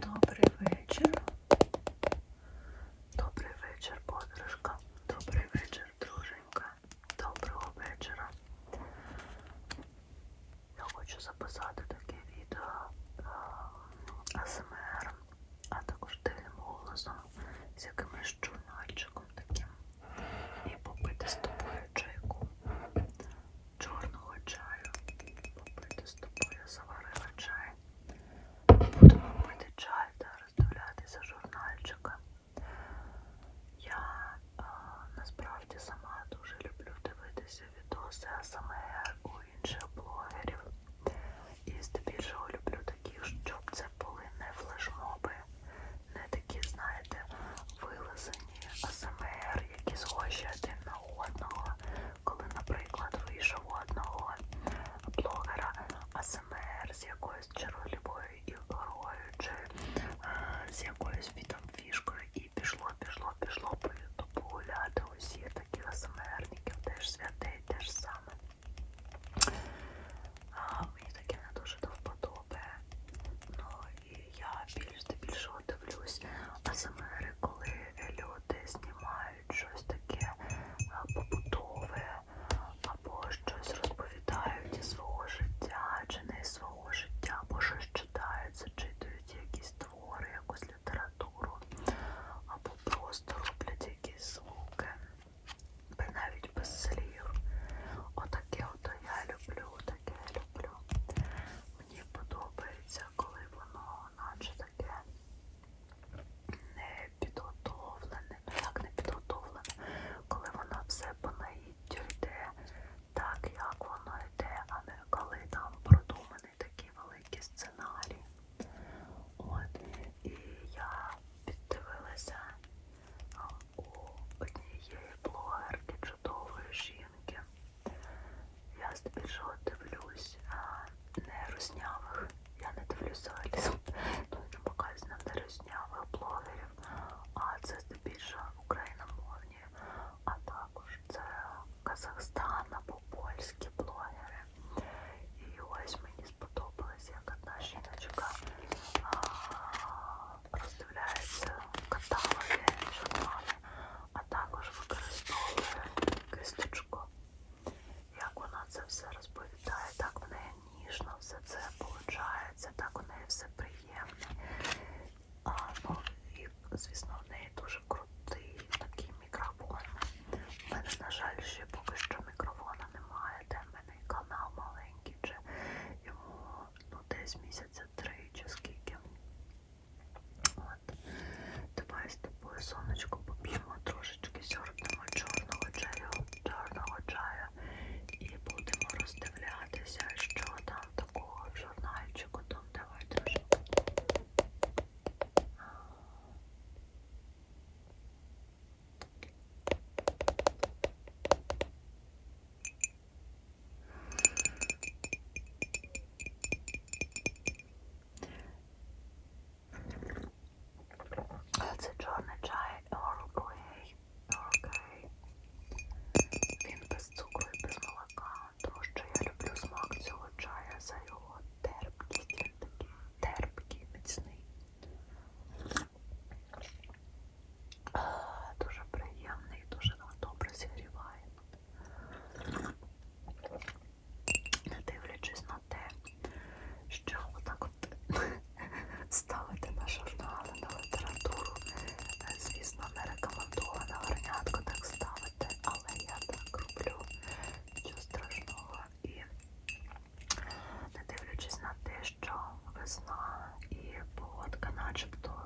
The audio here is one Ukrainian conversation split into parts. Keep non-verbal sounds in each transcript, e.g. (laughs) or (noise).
Добрий вечір. Добрий вечір, подружка. Добрий вечір, друженька. Доброго вечора. Я хочу записати таке відео е, АСМР, а також тильним голосом з якимось журнальчиком таким. І попити з тобою чайку чорного чаю. Попити з тобою заварила чай. Будемо пити чай та роздивлятися журнальчика. Я а, насправді сама дуже люблю дивитися відоси АСМР у інших блогерів. І здебільшого люблю таких, щоб це були не флешмоби, не такі, знаєте, вилазені АСМР, які схожі один на одного коли, наприклад, вийшов у одного блогера АСМР з якоюсь чаролюбою ігрою чи е, з якоюсь фішкою і пішло, пішло, пішло по ютубу гуляти усіх таких АСМРників, теж святий, теж саме. А, мені таке не дуже до вподоби. Ну і я більш здебільшого дивлюсь АСМР коли люди знімають щось таке е, побутове або щось розповідають із свого життя чи не із свого життя, або щось читають, зачитують якісь твори, якусь літературу, або просто роблять якісь звуки, навіть без слів. Отаке ото я люблю, таке я люблю. Мені подобається, коли воно наче таке не підготовлене, ну як не підготовлене, коли воно все по наїттю йде, так як воно йде, а не коли там продуманий такий великий сценарій. От, і я піддивилася у однієї блогерки чудової жінки. Я здебільшого дивлюсь не рознявих. Я не дивлюся (laughs) ну, не показано не рознявих блогерів, а це здебільшого україномовні, а також це Казахстан або польські блогери. І ось мені сподобалось, як одна жіночка роздивляється каталоги журнали а також використовує кисточку. Як вона це все розповідає, так в неї ніжно все це виходить, так у неї все приємне. А, ну, і, звісно, в неї дуже крутий такий мікрофон. У мене, на жаль, ще поки що мікрофона немає, де в мене канал маленький, чи йому ну, десь місяця три чи скільки. От. Давай з тобою, сонечко, поп'ємо трошечки сьорбнемо чорного чаю, чорного чаю і будемо роздивлятися, що там такого в журнальчику. Там давай трошечки. Це чорний чай Earl Grey. Earl Grey. Він без цукру і без молока, тому що я люблю смак цього чая за його терпкість. Він такий терпкий, міцний. Дуже приємний, дуже добре зігріває не дивлячись на те, що отак от (laughs) ставити на журнали, на літературу, е, звісно, не рекомендовано горнятку так ставити, але я так роблю що страшного. І не дивлячись на те, що весна і погодка начебто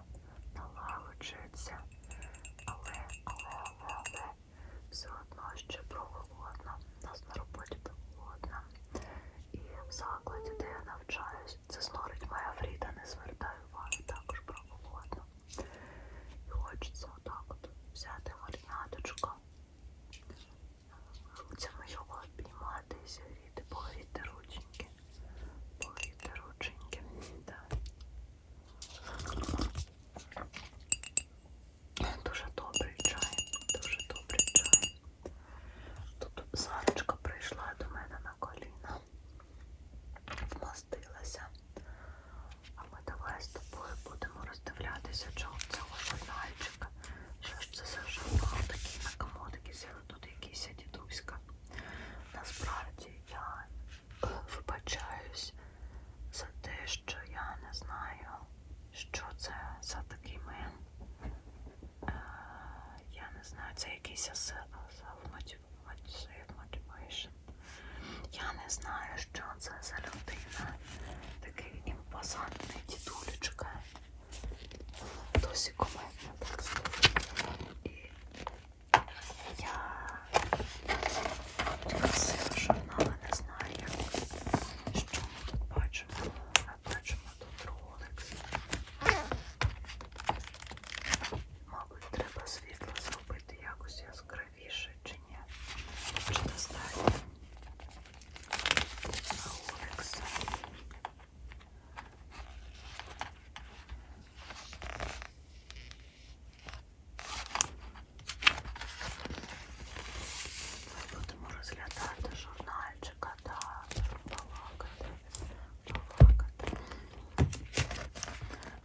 налагоджується. Але, але, але, але все одно ще прохолодно. У нас на роботі так холодно. І в закладі, де я навчаюсь, це снорить моя Фріда, не звертаю увагу, також прохолодно. І хочеться отак от взяти марінаточку, руцями його обіймати і зігріти, погріти рученьки, погріти рученьки. Да. Дуже добрий чай, дуже добрий чай. Тут Сарочка прийшла до мене на коліна, вмастилася. А ми давай з тобою будемо роздивлятися чого цього журнальчика. Що ж це за журнал? Такий на комодики сіли тут якийсь дідуська. Насправді я вибачаюсь за те, що я не знаю, що це за такий мен. Я не знаю, це якийсь self-motivation. Я не знаю, що це за людина. Такий імпозантний дідулечка. Досі коментно так стоїть. І я красива журнала не знаю, як. що ми тут бачимо. Ми бачимо тут роликс. Мабуть, треба світло зробити якось яскравіше чи ні. Чи достатньо? Роликс. Будемо розглядати журнальчика, так, балакати, балакати.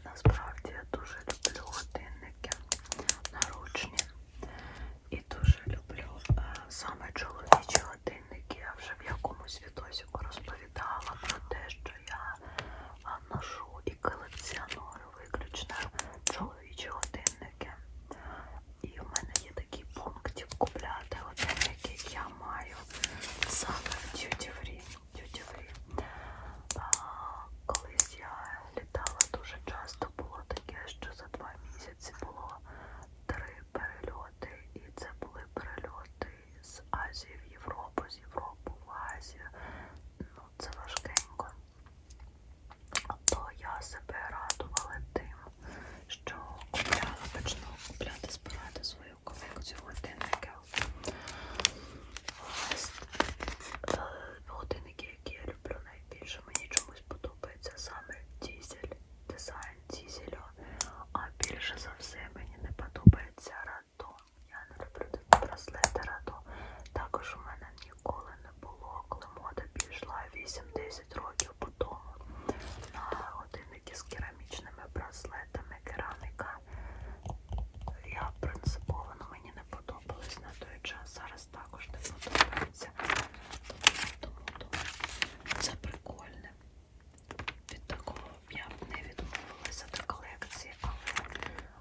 Насправді я дуже люблю годинники наручні. І дуже люблю е, саме чоловічі годинники. Я вже в якомусь відосіку розповідала про те, що я е, ношу і колекціоную виключно чоловічі годинники. І в мене є такий пункт купляти годинники, я маю саме в Duty Free. Duty Free. А, колись я літала дуже часто, було таке, що за два місяці було три перельоти. І це були перельоти з Азії в Європу, з Європи в Азію ну, це важкенько. То я себе радувала тим, що купляла, почала купляти, збирати свою колекцію годинників. Е, годинники, які я люблю найбільше, мені чомусь подобається саме дізель, дизайн дізелю. А більше за все мені не подобається раду. Я не люблю такі браслети раду. Також у мене ніколи не було, коли мода пішла 8-10 років по тому на годинники з керамічними браслетами кераміка. Я принципово ну, мені не подобалось на той час. Зараз також не подобається. Тому, тому це прикольне. Від такого я б не відмовилася до колекції, але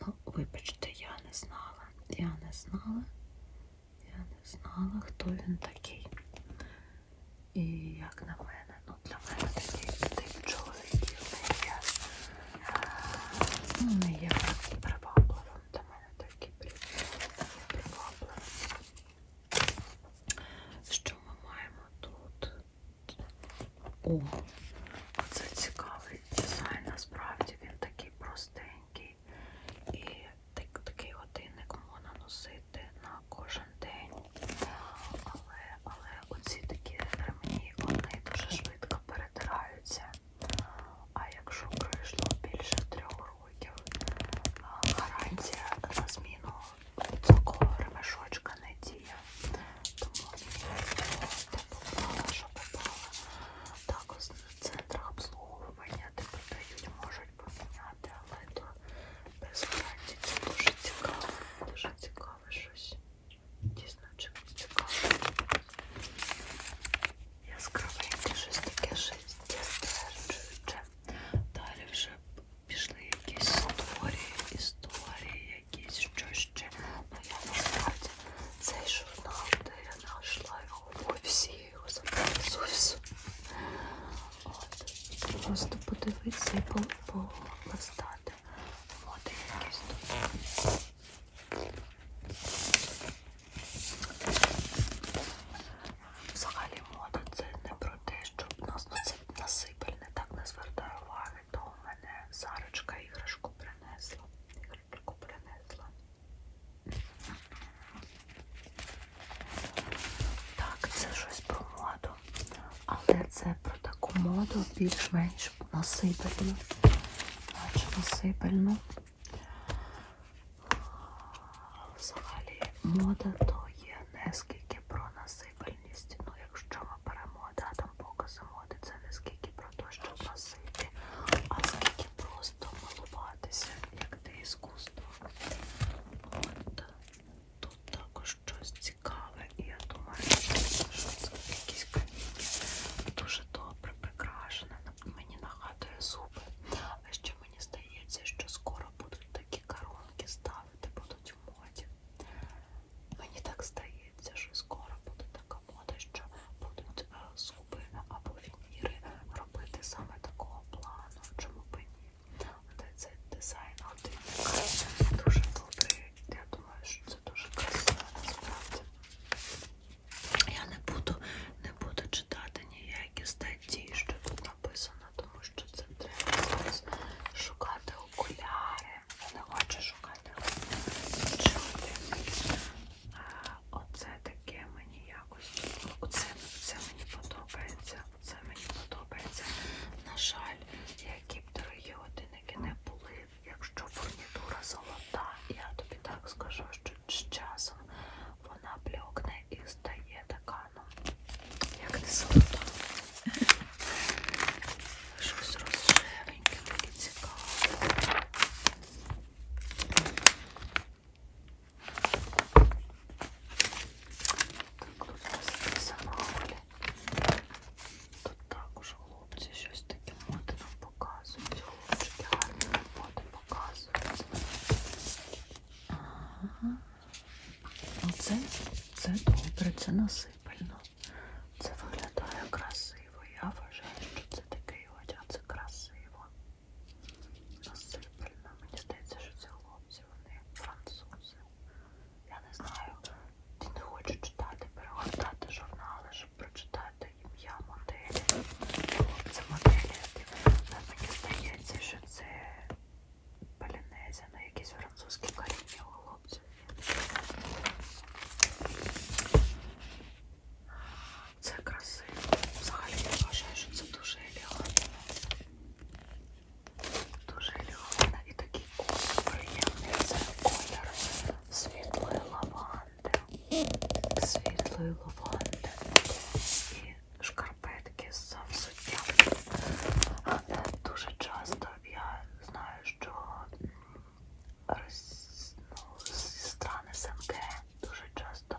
Ну, вибачте, я не знала. Я не знала, я не знала, хто він такий. І як на мене, ну для мене такий, такий чоловік не є. Ну, не є привабливим. Для мене такий привабливим. Що ми маємо тут? О, оце цікавий дизайн, насправді він такий простенький. І так, такий годинник можна носити на кожен день. Але, але оці такі ремні, вони дуже швидко перетираються. А якщо пройшло більше трьох років, гарантія на зміну такого ремешочка не діє. Тому де попала, що попала. Так, в центрах обслуговування, де продають, можуть поміняти, але то без гарантії. Це дуже цікаво, дуже цікаве щось. Дійсно, чимось цікаве. Яскравеньке щось таке життя стверджуюче. Далі вже пішли якісь історії, історії, якісь що ще. Ну я насправді цей журнал, де я знайшла його в офісі, я його забрала з офісу. От, просто подивитися і полистати. От якісь тут. Взагалі мода це не про те, щоб нас на це насипель не так не звертає уваги, то у мене Сарочка іграшку принесла. Іграшку принесла. Так, це щось про моду. Але це про таку моду більш-менш насипельну. Наче насипельну. Взагалі мода то є нескільки про насипельну просипальність. Ну, якщо ми беремо датом показу моди, це не скільки про те, що просити, а скільки просто малуватися, як те іскусство. От тут також щось цікаве, і я думаю, що це якісь каміння дуже добре прикрашене. Мені нагадує зуби. А ще мені здається, що скоро будуть такі такі коронки ставити будуть в моді. Мені так здається, що скоро буде така мода, що будуть е, зуби або вініри робити саме такого плану, чому б ні. Але цей дизайн годинника дуже добрий. Я думаю, що це дуже красиво насправді. Я не буду, не буду читати ніякі статті, що тут написано тому що це треба зараз шукати окуляри. Я не хочу шукати чути. Оце таке мені якось. Оце, оце мені подобається. Оце мені подобається. На жаль, які б дорогі годинники не були. Якщо фурнітура золота, я тобі так скажу, що з часом вона бльокне і стає така погано. Як не солодко. Щось розширеньке, таке цікаве. Так, тут розписано. Тут також хлопці щось таке моди нам показують. Хлопчики гарні моди показують. Ага. Оце ну, це добре, це насипально. Це виглядає красиво. Я вважаю, що це такий одяг, це красиво. Насипально. Мені здається, що це хлопці, вони французи. Я не знаю, ти не хочу читати, перегортати журнали, щоб прочитати ім'я моделі. Хлопці моделі. Мені здається, що це полінезія, ну якісь французькі коріння у хлопців. Це красиво. Взагалі я вважаю, що це дуже елегантно. Дуже елегантно і такий колір приємний. Це колір світлої лаванди. Світлої лаванди. І шкарпетки з завзуттям. Е, дуже часто Тобто я знаю, що роз, ну, зі сторони СНГ дуже часто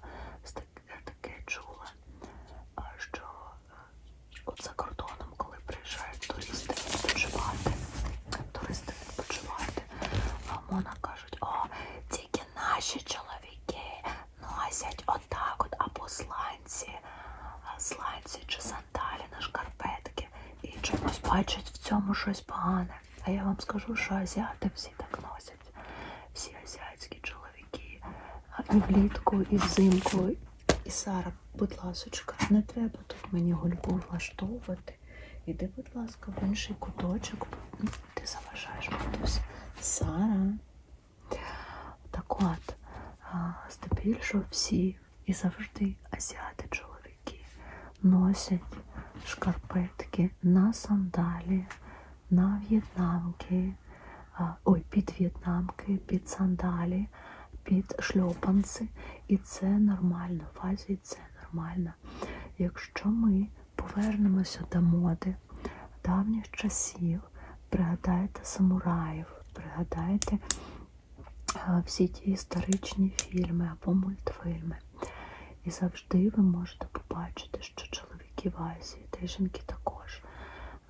таке чула, що е, от за кордоном, коли приїжджають туристи відпочивати, туристи відпочивати, а мона кажуть, о, тільки наші чоловіки носять отак от або сланці, сланці чи сандалі, на шкарпетки і чомусь бачать в цьому щось погане. А я вам скажу, що азіати всі так носять. Всі азіатські чоловіки і влітку, і взимку. І Сара, будь ласочка, не треба тут мені гульбу влаштовувати. Іди, будь ласка, в інший куточок. Ну, ти заважаєш матусь. Сара. Так от, здебільшого всі і завжди азіати чоловіки носять шкарпетки на сандалі, на в'єтнамки, ой, під в'єтнамки, під сандалі, під шльопанці. І це нормально, в Азії це нормально. Якщо ми повернемося до моди давніх часів, пригадайте самураїв, пригадайте всі ті історичні фільми або мультфільми. І завжди ви можете побачити, що чоловіки в Азії, та й жінки також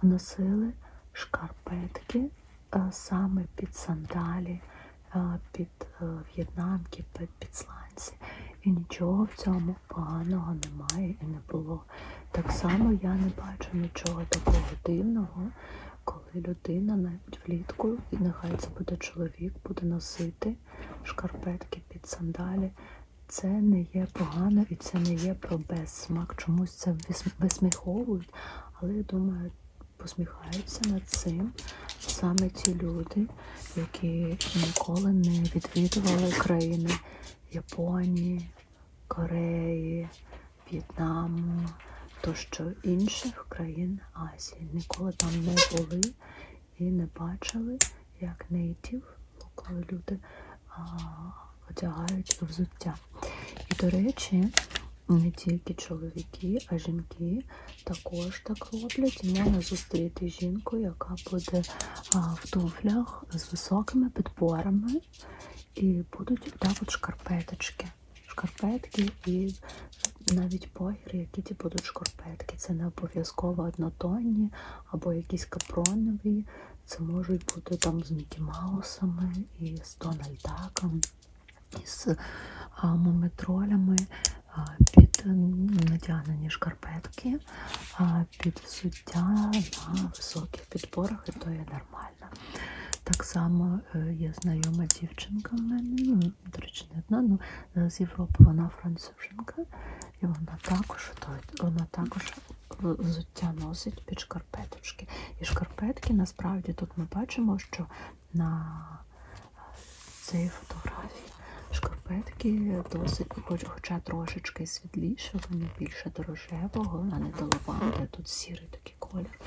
носили шкарпетки саме під сандалі, під е, в'єтнамки, під підсланці. І нічого в цьому поганого немає і не було. Так само я не бачу нічого такого дивного коли людина навіть влітку, і нехай це буде чоловік, буде носити шкарпетки під сандалі. Це не є погано і це не є про безсмак. Чомусь це висміховують, але я думаю, посміхаються над цим саме ті люди, які ніколи не відвідували країни Японії, Кореї. В'єтнаму тощо інших країн Азії. Ніколи там не були і не бачили, як нейтів, коли люди а, одягають взуття. І, до речі, не тільки чоловіки, а жінки також так роблять. І можна зустріти жінку, яка буде а, в туфлях з високими підборами ткань. І будуть також шкарпеточки. Шкарпетки і навіть погіри, які ті будуть шкарпетки. Це не обов'язково однотонні або якісь капронові. Це можуть бути там з Мікі Маусами, і з Дональдаком, і з мумітролями. Під натягнені шкарпетки, під взуття на високих підборах, і то є нормально нормально. Так само я е, знайома дівчинка в мене, ну, до речі, не одна, але ну, з Європи вона француженка, і вона також вона також взуття носить під шкарпеточки. І шкарпетки насправді тут ми бачимо, що на е, цій фотографії шкарпетки досить, хоча трошечки світліше, вони більше дорожевого, а не долова, тут сірий такий колір колір.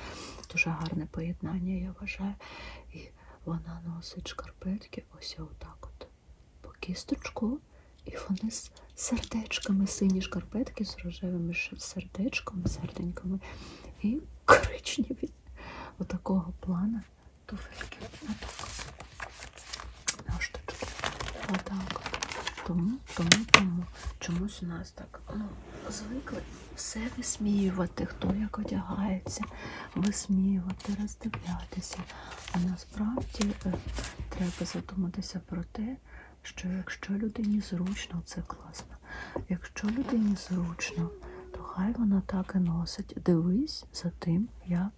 Дуже гарне поєднання, я вважаю. І вона носить шкарпетки, ось отак от по кісточку. І вони з сердечками, сині шкарпетки, з рожевими сердечками, серденьками і коричневі отакого плана туфельки. Отак. Тому, тому, тому чомусь на нас так ну, звикли все висміювати, хто як одягається, висміювати, роздивлятися. А насправді е, треба задуматися про те, що якщо людині зручно, це класно. Якщо людині зручно, то хай вона так і носить. Дивись за тим, як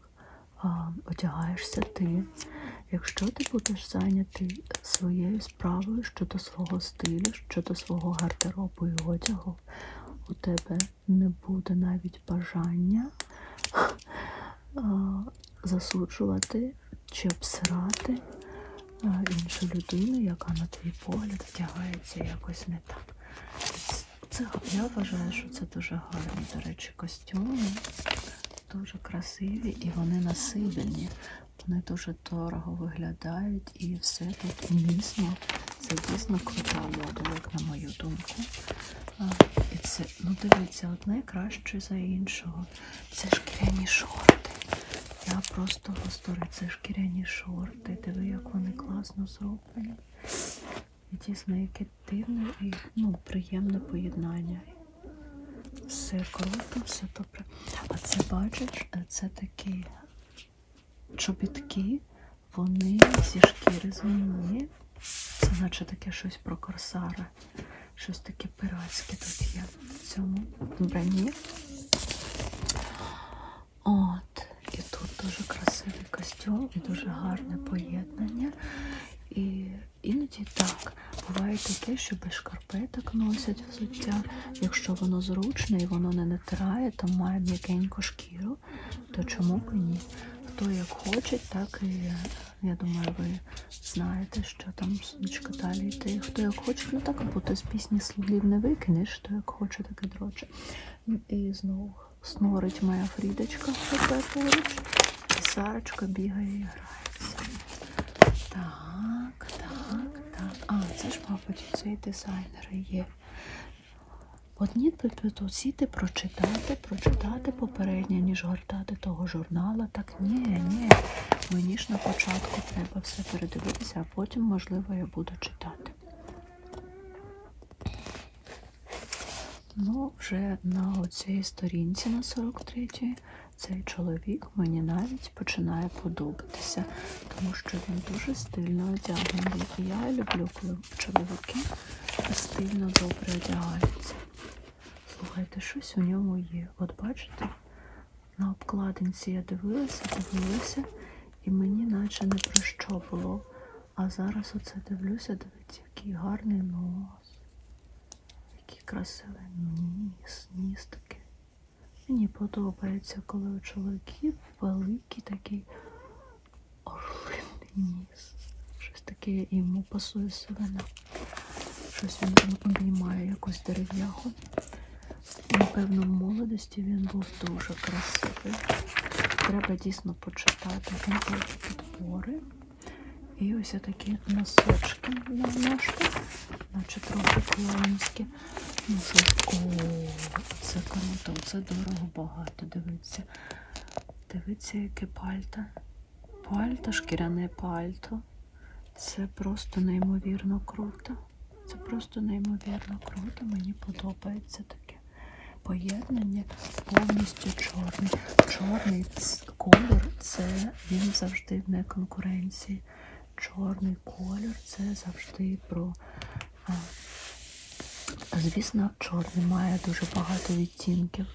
а, одягаєшся ти. Якщо ти будеш зайнятий, зайнятий своєю справою щодо свого стилю, щодо свого гардеробу і одягу. У тебе не буде навіть бажання засуджувати чи обсирати іншу людину, яка на твій погляд втягається якось не так. Це, Я вважаю, що це дуже гарні, до речі, костюми, дуже красиві і вони насилені. Вони дуже дорого виглядають і все тут умісно. Це дійсно крута модель, на мою думку. А, і це, ну Дивіться, одне краще за іншого. Це шкіряні шорти. Я просто гостори, це шкіряні шорти. Диви, як вони класно зроблені. І дійсно, яке дивне і ну, приємне поєднання. Все круто, все добре. А це бачиш, е, це такі чобітки, вони зі шкіри зміні. Це наче таке щось про корсара. Щось таке пиратське тут є в цьому броні. От, і тут дуже красивий костюм і дуже гарне поєднання. І іноді так, Буває таке, що без шкарпеток носять взуття. Якщо воно зручне і воно не натирає, то має м'якеньку шкіру, то чому б і ні? Хто як хоче, так і я думаю, ви знаєте, що там сонечко далі йти. Хто як хоче, ну так бо з пісні слів не викинеш, хто як хоче, так і дроче. Ну, і знову снорить моя фрідочка, поруч, і Сарочка бігає і грається. Так, так. Так, а, це ж, мабуть, цей дизайнер є. Одні петиційте прочитати, прочитати попереднє, ніж гортати того журнала. Так ні, ні. Мені ж на початку треба все передивитися, а потім, можливо, я буду читати. Ну, вже на оцій сторінці, на 43-й, цей чоловік мені навіть починає подобатися, тому що він дуже стильно одягнений. І я люблю, коли чоловіки стильно добре одягаються. Слухайте, щось у ньому є. От бачите, на обкладинці я дивилася, дивилася, і мені наче не про що було. А зараз оце дивлюся, дивіться, який гарний нос, який красивий ніс, ніс такий. Мені подобається, коли у чоловіків великий такий орлиний ніс. Щось таке йому пасує сивина. Щось він там обіймає якусь дерев'яху. Напевно, в молодості він був дуже красивий. Треба дійсно почитати підбори. І ось такі носочки на ножках наче трохи клоунські. Ну що, о, це круто, це дорого багато, дивіться. Дивіться, яке пальто. Пальто, шкіряне пальто. Це просто неймовірно круто. Це просто неймовірно круто. Мені подобається таке поєднання повністю чорне. Чорний колір це він завжди в неконкуренції чорний колір це завжди про. Е, звісно, чорний має дуже багато відтінків.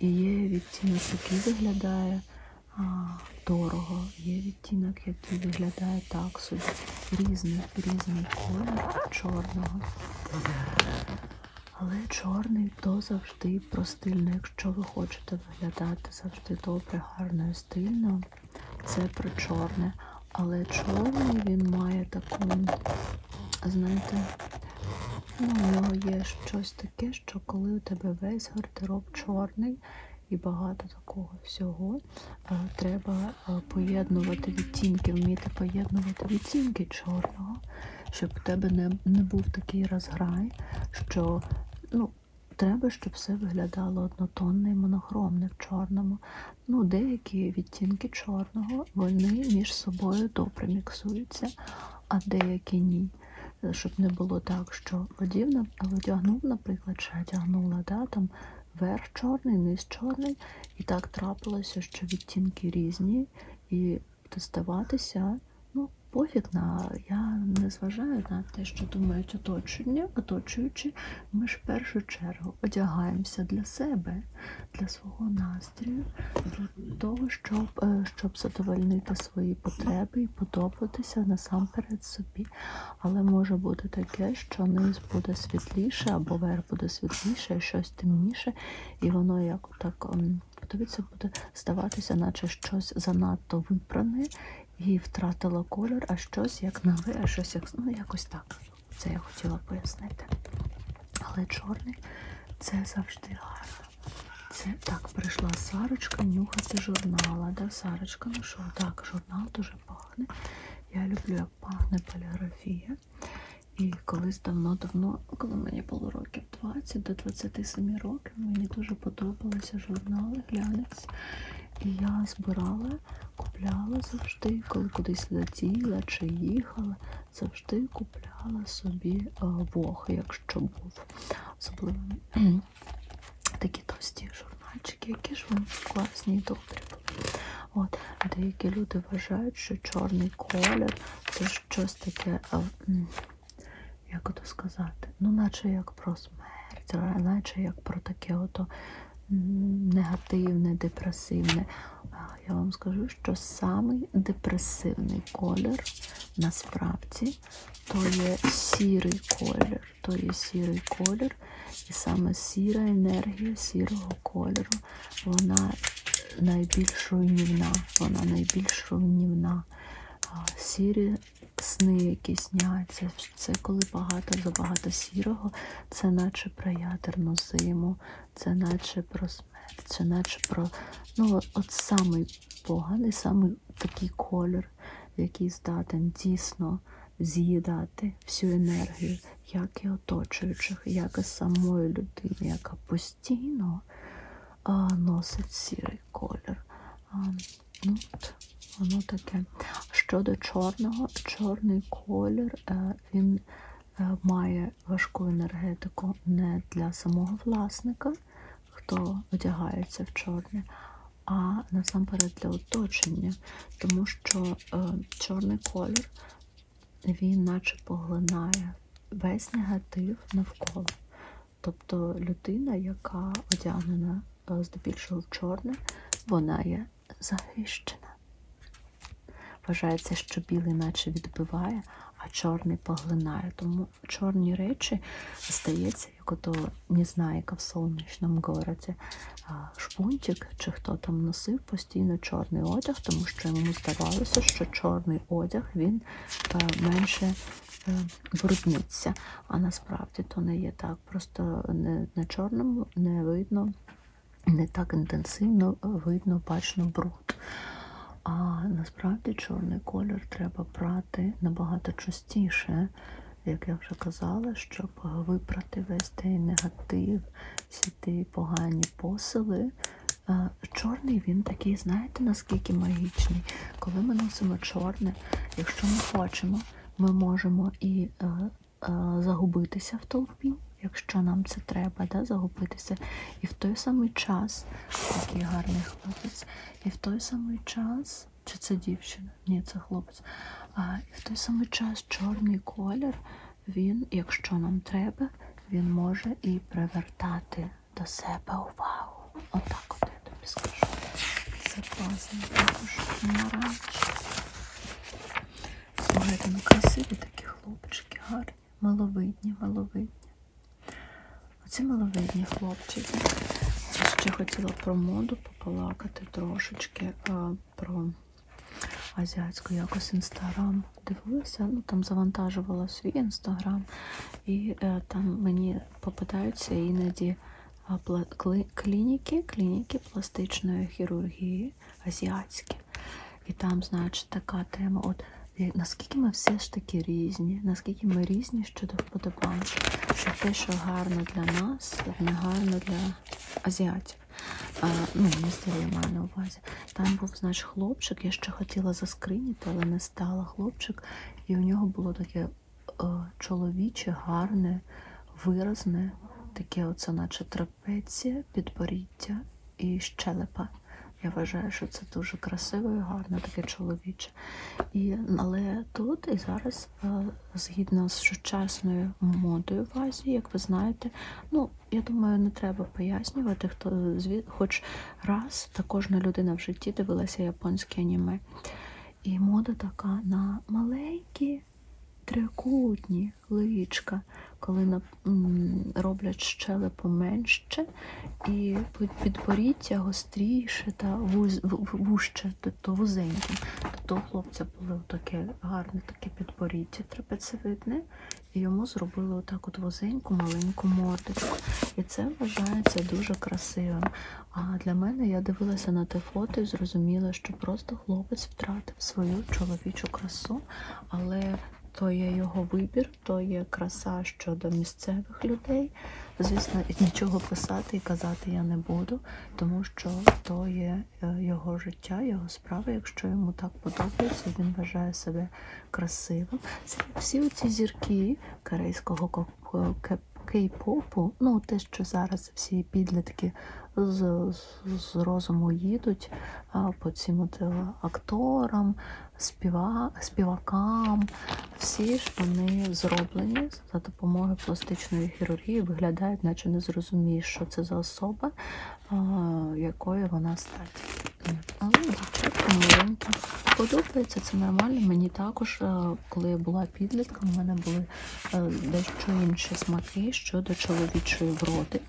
І є відтінок, який виглядає а, дорого, є відтінок, який виглядає так собі. Різний, різний колір чорного. Але чорний то завжди про стильно. Ну, якщо ви хочете виглядати завжди добре, гарно сукнею стильно, це про чорне. Але чорний він має таку, знаєте, ну, в нього є щось таке, що коли у тебе весь гардероб чорний і багато такого всього, е, треба е, поєднувати відтінки, вміти поєднувати відтінки чорного, щоб у тебе не, не був такий розграй, що. Ну, треба, щоб все виглядало однотонно і монохромне в чорному. Ну, Деякі відтінки чорного вони між собою добре міксуються, а деякі ні. Е, щоб не було так, що одів, одягнув, наприклад, чи одягнула, да, там верх чорний, низ чорний, і так трапилося, що відтінки різні, і тестуватися ну, пофіг на я не зважаю на те, що думають оточення, оточуючи, ми ж в першу чергу одягаємося для себе, для свого настрою, для того, щоб е, щоб задовольнити свої потреби і подобатися насамперед собі. Але може бути таке, що низ буде світліше, або верх буде світліше, щось темніше, і воно як так ем, подивіться, буде здаватися, наче щось занадто випране і втратила колір, а щось як нове, а щось як. Ну, якось так. Це я хотіла пояснити. Але чорний це завжди гарно. Це так, прийшла Сарочка нюхати журнала. Да, Сарочка, ну що, так, журнал дуже пахне. Я люблю, як пахне поліграфія. І колись давно-давно, коли мені було років 20 до 27 років років мені дуже подобалися журнали, глянець. І я збирала, купляла завжди, коли кудись летіла чи їхала, завжди купляла собі е, вог, якщо був. Особливо (clears throat) такі товсті журнальчики, які ж вони класні і добрі були. От, Деякі люди вважають, що чорний колір це щось таке е, як то сказати, ну, наче як про смерть, наче як про таке ото негативне, депресивне. Я вам скажу, що самий депресивний колір насправді то є сірий колір, то є сірий колір, і саме сіра енергія сірого кольору, вона найбільш руйнівна, вона найбільш руйнівна. Сірі сни, які сняться. Це коли багато-забагато сірого, це наче про ядерну зиму, це наче про смерть, це наче про. Ну, от самий поганий, самий такий колір, який здатен дійсно з'їдати всю енергію, як і оточуючих, як і самої людини, яка постійно а, носить сірий колір ну, от, воно таке. Щодо чорного, чорний колір е, він е, має важку енергетику не для самого власника, хто одягається в чорне, а насамперед для оточення, тому що е, чорний колір він наче поглинає весь негатив навколо. Тобто людина, яка одягнена е, здебільшого в чорне, вона є захищена. Вважається, що білий наче відбиває, а чорний поглинає. Тому чорні речі здається, як ото Незнайка в сонячному городі. Е, шпунтик чи хто там носив постійно чорний одяг, тому що йому здавалося, що чорний одяг він е, менше брудниться. А насправді насправді то не є так. Просто не, на чорному не видно, не так інтенсивно е, видно, бачно бруд. А насправді чорний колір треба прати набагато частіше, як я вже казала, щоб випрати весь той негатив, всі ті погані посили. Е, чорний він такий, знаєте, наскільки магічний. Коли ми носимо чорне, якщо ми хочемо ми можемо і е, е, загубитися в толпі, якщо нам це треба, да, загубитися. І в той самий час, такий гарний хлопець, і в той самий час, чи це дівчина? Ні, це хлопець. А, І в той самий час чорний колір, він, якщо нам треба, він може і привертати до себе увагу. Отак от, от я тобі скажу. Це класно. Також наранчі. Слухайте, ну красиві такі хлопчики, гарні, маловидні, маловидні. Оці маловидні хлопчики. Ще хотіла про моду пополакати трошечки а, про азіатську якось інстаграм. Дивилася, ну там завантажувала свій інстаграм, і е, там мені попадаються іноді клініки, клініки пластичної хірургії азіатські. І там, значить, така тема. От наскільки ми все ж таки різні, наскільки ми різні щодо вподобань, що те, що гарно для нас, не гарно для азіатів. А, ну, містерія маю на увазі. Там був, значить, хлопчик, я ще хотіла заскриніти, але не стала хлопчик, і у нього було таке Е, чоловіче, гарне, виразне, таке, оце наче трапеція, підборіддя і щелепа. Я вважаю, що це дуже красиво і гарно, таке чоловіче. І, Але тут і зараз, е, згідно з сучасною модою в Азії, як ви знаєте, ну, я думаю, не треба пояснювати, хто хоч раз та кожна людина в житті дивилася японське аніме. І мода така на маленькі трикутні личка, коли на, роблять щелепу менше і підборіддя гостріше та вуз, вужче, тобто вузеньким. Тобто у хлопця було таке гарне таке підборіддя трапецевидне, і йому зробили отак от вузеньку маленьку мордочку. І це вважається дуже красивим. А для мене я дивилася на те фото і зрозуміла, що просто хлопець втратив свою чоловічу красу, але то є його вибір, то є краса щодо місцевих людей. Звісно, нічого писати і казати я не буду, тому що то є е, його життя, його справа. Якщо йому так подобається, він вважає себе красивим. Всі ці зірки корейського е, кей-попу, ну те, що зараз всі підлітки з, з, з розуму їдуть по цим е, акторам, співа, співакам. Всі штани зроблені за допомогою пластичної хірургії, виглядають, наче не зрозумієш, що це за особа, а, якою вона стать. Але дівчатка маленька подобається, це нормально. Мені також а, е, коли я була підлітком, в мене були е, дещо інші смаки щодо чоловічої вроди.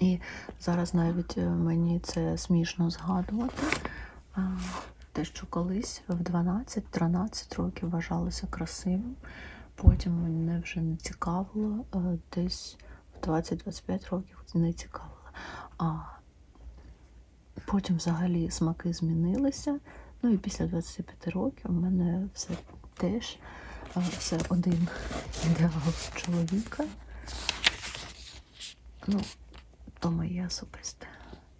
І зараз навіть е, мені це смішно згадувати. Те, що колись в 12-13 років вважалося красивим, потім мене вже не цікавило, е, десь в 20-25 років не цікавило. А Потім взагалі смаки змінилися. Ну і після 25 років в мене все теж е, все один ідеал чоловіка. Ну, то моє особисте.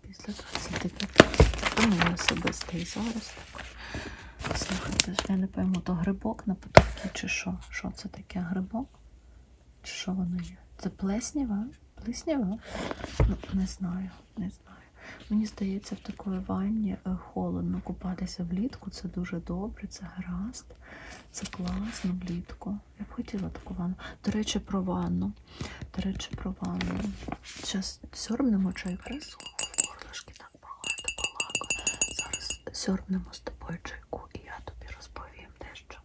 Після 25 то моє особисте і зараз так. Слухайте, я не пойму, то грибок на потовці чи що? Що це таке грибок? Чи що воно є? Це плесніва? плиснява? Ну, не знаю, не знаю. Мені здається, в такої ванні е, холодно купатися влітку. Це дуже добре, це гаразд, це класно влітку. Я б хотіла таку ванну. До речі, про ванну. До речі, про ванну. Зараз сьорбнемо чайку. Горлишки так багато балако. Зараз сьорбнемо з тобою чайку, і я тобі розповім дещо.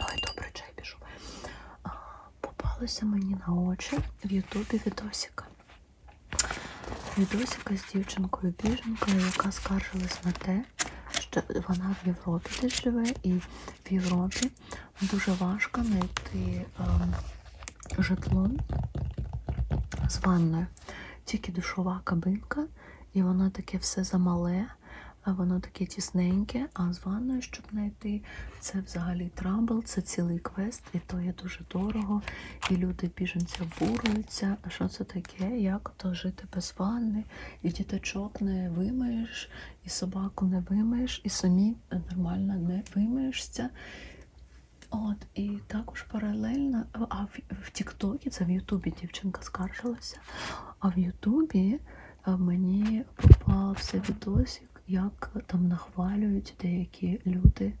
Ой, добре, чай пішов. Попалося мені на очі в Ютубі відосика. Відосика з дівчинкою-біженкою, яка скаржилась на те, що вона в Європі десь живе, і в Європі дуже важко знайти ем, житло з ванною. Тільки душова кабинка, і вона таке все замале, а воно таке тісненьке, а з ванною, щоб знайти, це взагалі трабл, це цілий квест, і то є дуже дорого. І люди біженці обурюються. А що це таке? Як то жити без ванни? І діточок не вимиєш, і собаку не вимиєш, і самі нормально не вимиєшся. От, і також паралельно, а в в Тіктокі, це в Ютубі дівчинка скаржилася, а в Ютубі е, мені попався відосик, як там нахвалюють деякі люди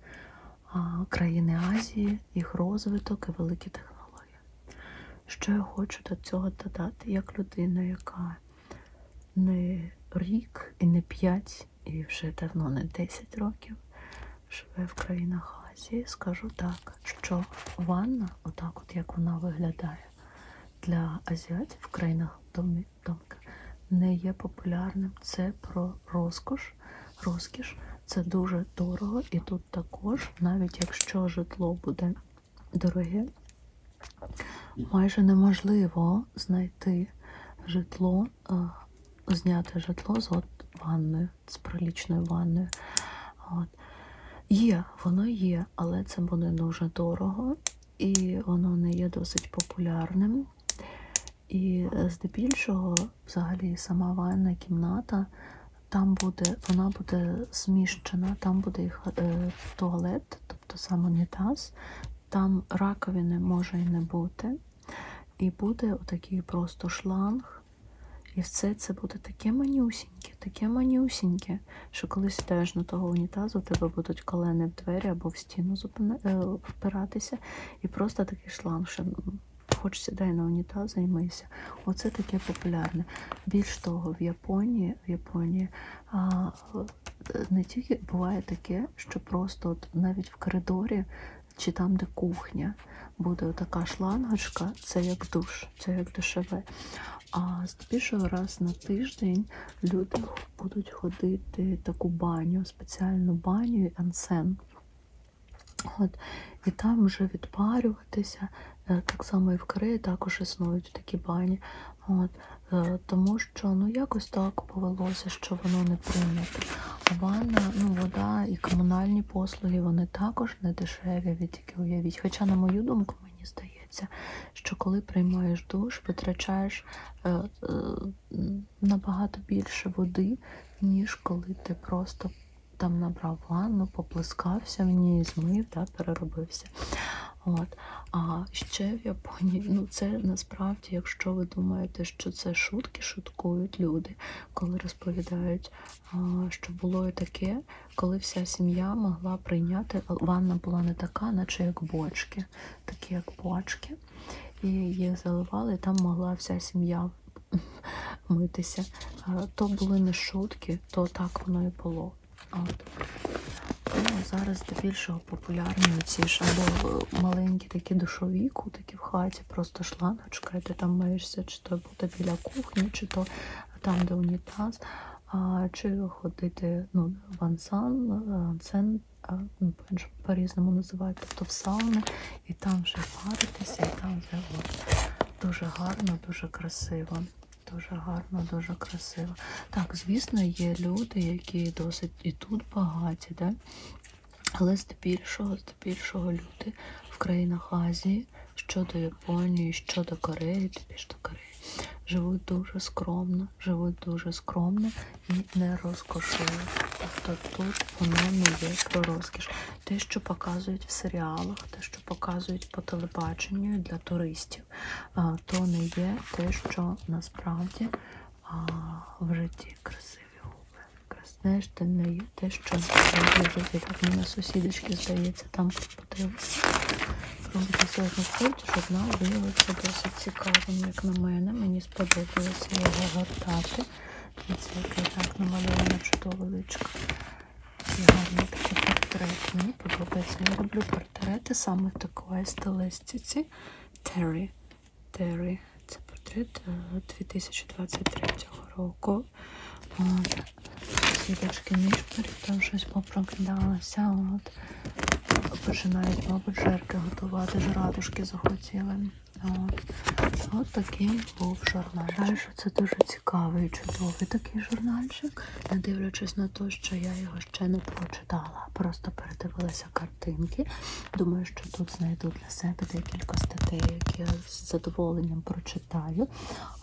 країни Азії, їх розвиток і великі технології. Що я хочу до цього додати, як людина, яка не рік і не п'ять, і вже давно не 10 років живе в країнах Азії, скажу так так, що ванна, отак от як вона виглядає для азіатів в країнах домі, домка, не є популярним. Це про розкош, розкіш, це дуже дорого. І тут також, навіть якщо житло буде дороге, майже неможливо знайти житло, е, зняти житло з от ванною з пролічною ванною. От. Є, воно є, але це буде дуже дорого, і воно не є досить популярним. І е, здебільшого, взагалі, сама ванна кімната, там буде, вона буде зміщена, там буде їх е, туалет, тобто сам унітаз, там раковини може і не бути. І буде отакий просто шланг і все це буде таке манюсіньке, таке манюсіньке, що коли сідаєш на того унітазу, у тебе будуть колени в двері або в стіну е, впиратися, і просто такий шланг, що ну, хоч сідай на унітаз і мийся. Оце таке популярне. Більш того, в Японії в Японії а, не тільки буває таке, що просто от навіть в коридорі чи там, де кухня, буде така шлангочка, це як душ, це як душеве. А здебільшого раз на тиждень люди будуть ходити таку баню, спеціальну баню ансен. От, І там вже відпарюватися. Е, так само і в Кореї також існують такі бані. От, е, Тому що ну якось так повелося, що воно не прийнято. А ванна, ну, вода і комунальні послуги вони також не дешеві тільки уявіть. Хоча, на мою думку, мені здається, що коли приймаєш душ, витрачаєш е, е, набагато більше води, ніж коли ти просто там набрав ванну, поплескався в ній, змив та переробився. От. А ще в Японії, ну це насправді, якщо ви думаєте, що це шутки, шуткують люди, коли розповідають що було і таке, коли вся сім'я могла прийняти, ванна була не така, наче як бочки, такі як бочки. І їх заливали, і там могла вся сім'я (laughs) митися. То були не шутки, то так воно і було. От. Ну, Зараз більшого популярні ці ж або е, маленькі такі душові кутики в хаті, просто шлангочка, і ти там миєшся, чи то робота біля кухні, чи то там, де унітаз, чи ходити ну, в ансан, ансен, е, е, ну, по-різному називають, тобто в сауни, і там вже паритися, і там вже от, дуже гарно, дуже красиво. Дуже гарно, дуже красиво. Так, звісно, є люди, які досить і тут багаті, да? але здебільшого, здебільшого люди в країнах Азії щодо Японії, щодо Кореї, тобі до Кореї. Живуть дуже скромно, живуть дуже скромно і не розкошують. Тобто тут воно не є про розкіш. Те, що показують в серіалах, те, що показують по телебаченню для туристів, то не є те, що насправді в житті красиві губи. Знаєш, ти не продаю те, що вже так мене сусідочки, здається, там подивилися. Робити сьогодні вході, щоб вона виявилася досить цікавим, ну, як на мене. Мені сподобалося його гортати. Це який так намальована чудова личка. І гарний такий портрет. Мені подобається. Я люблю портрети саме в такої стилистиці. Террі. Террі. Це портрет 2023 е, року. От. Сіточки нишпорі, там щось попрокидалося. От. Починають, мабуть, жерки готувати, жратушки захотіли. От. От такий був журнальчик. Вважаю, що це дуже цікавий, чудовий такий журнальчик, не дивлячись на те, що я його ще не прочитала. Просто передивилася картинки. Думаю, що тут знайду для себе декілька статей, які я з задоволенням прочитала. Китаю.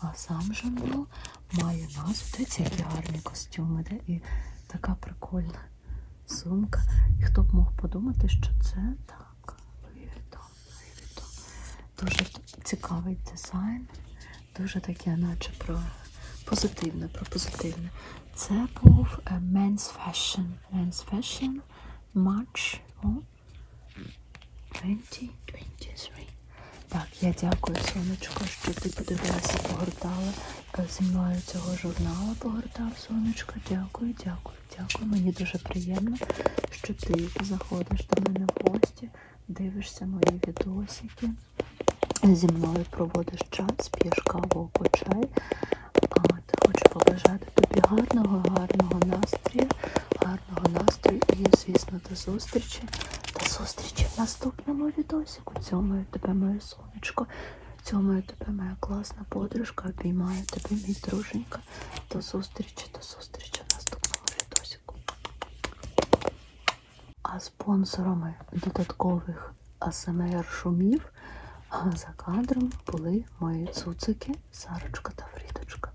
А сам Жанло ну, має назву. Дивіться, які гарні костюми, де і така прикольна сумка. І хто б мог подумати, що це так. Дуже цікавий дизайн, дуже таке, наче про позитивне, про позитивне. Це був е, Men's Fashion. Men's Fashion March. О, 2023. Так, я дякую, сонечко, що ти подивилася, погортала е, зі мною цього журналу, погортав сонечко. Дякую, дякую, дякую. Мені дуже приємно, що ти заходиш до мене в гості, дивишся мої відосики. Зі мною проводиш час, п'єш каву або чай. А, Хочу побажати тобі гарного, гарного настрою гарного настрою і, звісно, до зустрічі. До зустрічі в наступному відосіку. Цьомаю тебе, моє сонечко. Цьомаю тебе, моя класна подружка. Обіймаю тебе, мій друженька. До зустрічі, до зустрічі в наступному відосіку. А спонсорами додаткових АСМР-шумів за кадром були мої цуцики Сарочка та Фрідочка.